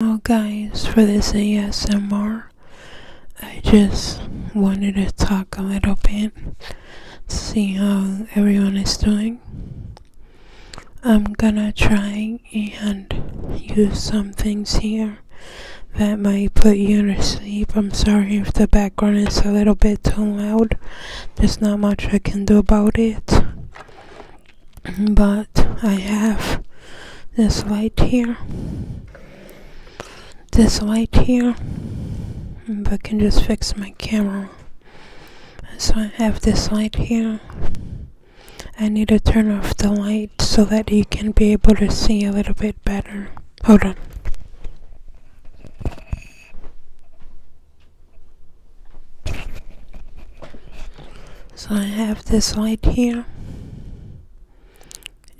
Well guys, for this ASMR, I just wanted to talk a little bit, see how everyone is doing. I'm gonna try and use some things here that might put you to sleep. I'm sorry if the background is a little bit too loud, there's not much I can do about it but I have this light here this light here but I can just fix my camera so I have this light here I need to turn off the light so that you can be able to see a little bit better hold on so I have this light here.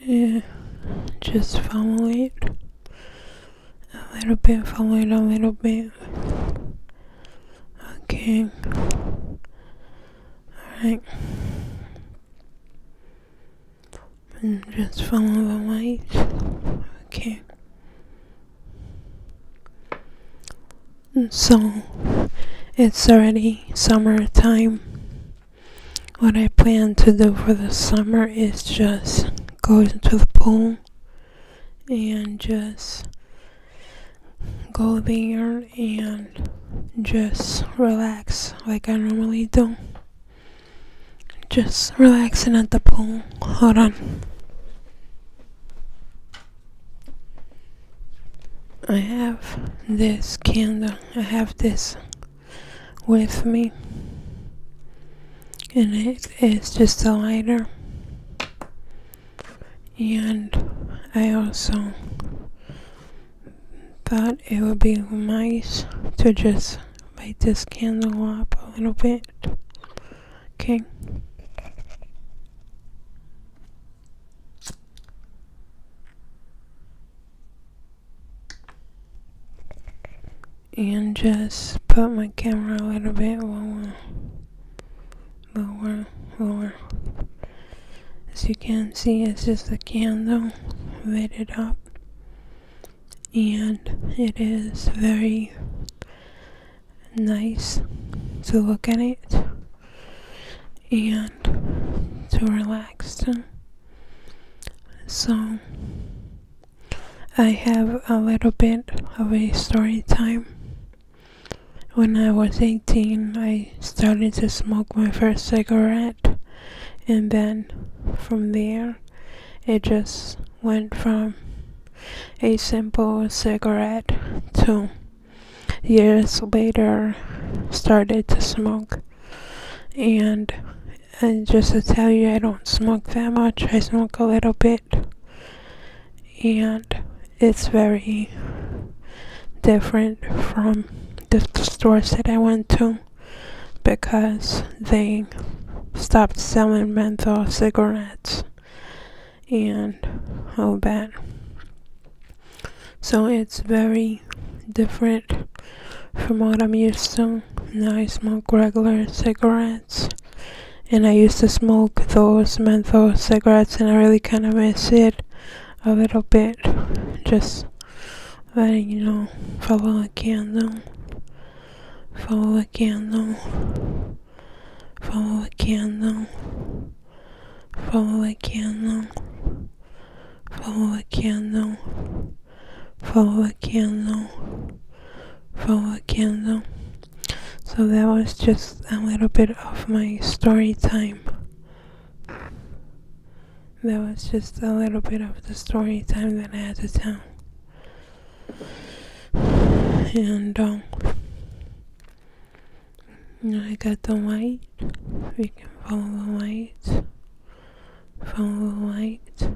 Uh, just follow it. A little bit, follow it a little bit. Okay. Alright. And just follow the light. Okay. So it's already summertime. What I plan to do for the summer is just go into the pool and just go there and just relax like I normally do. Just relaxing at the pool. Hold on. I have this candle, I have this with me, and it is just a lighter. And I also thought it would be nice to just light this candle up a little bit Okay, And just put my camera a little bit lower, lower, lower. As you can see, it's just a candle lit it up and it is very nice to look at it and to relax. So I have a little bit of a story time. When I was 18, I started to smoke my first cigarette, and then from there, it just went from a simple cigarette to years later started to smoke and and just to tell you I don't smoke that much I smoke a little bit and it's very different from the stores that I went to because they stopped selling menthol cigarettes and oh, bad! So it's very different from what I'm used to. Now I smoke regular cigarettes and I used to smoke those menthol cigarettes and I really kind of miss it a little bit. Just Varigão falou aqui andam, falou aqui follow falou aqui andam, falou aqui andam, falou aqui andam, falou aqui follow falou aqui andam. So that was just a little bit of my story time that was just a little bit of the story time that I had to tell. And um, I got the white, We can follow the white, Follow the white,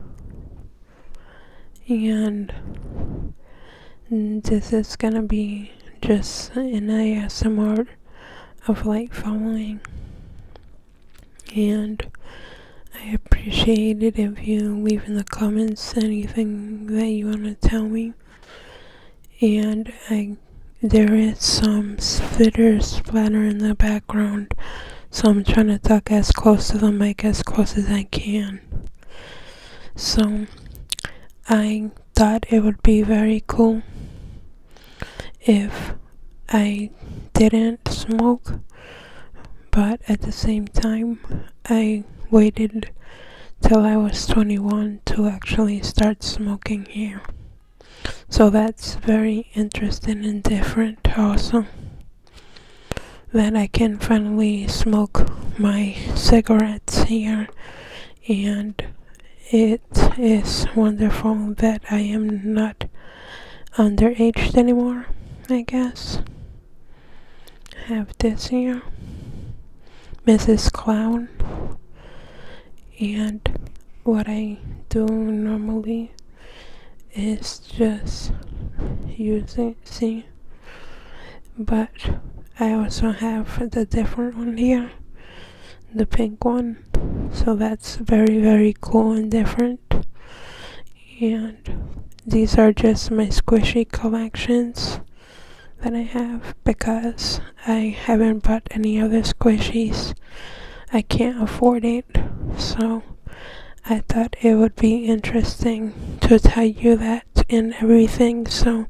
And this is gonna be just an ASMR of light following. And I appreciate it if you leave in the comments anything that you want to tell me. And I, there is some spitter splatter in the background, so I'm trying to talk as close to the mic as close as I can. So I thought it would be very cool if I didn't smoke, but at the same time, I waited till I was 21 to actually start smoking here. So that's very interesting and different, also. That I can finally smoke my cigarettes here and it is wonderful that I am not underage anymore, I guess. Have this here, Mrs. Clown, and what I do normally is just using, see, but I also have the different one here the pink one so that's very very cool and different and these are just my squishy collections that I have because I haven't bought any other squishies I can't afford it so I thought it would be interesting to tell you that and everything so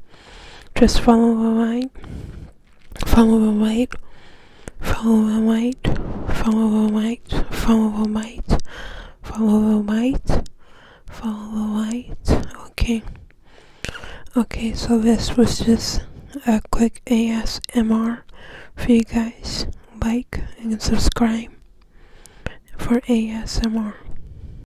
just follow the light. Follow the light. Follow the light. Follow the light. Follow the light. Follow the light. Follow the light. Okay. Okay, so this was just a quick ASMR for you guys. Like and subscribe for ASMR.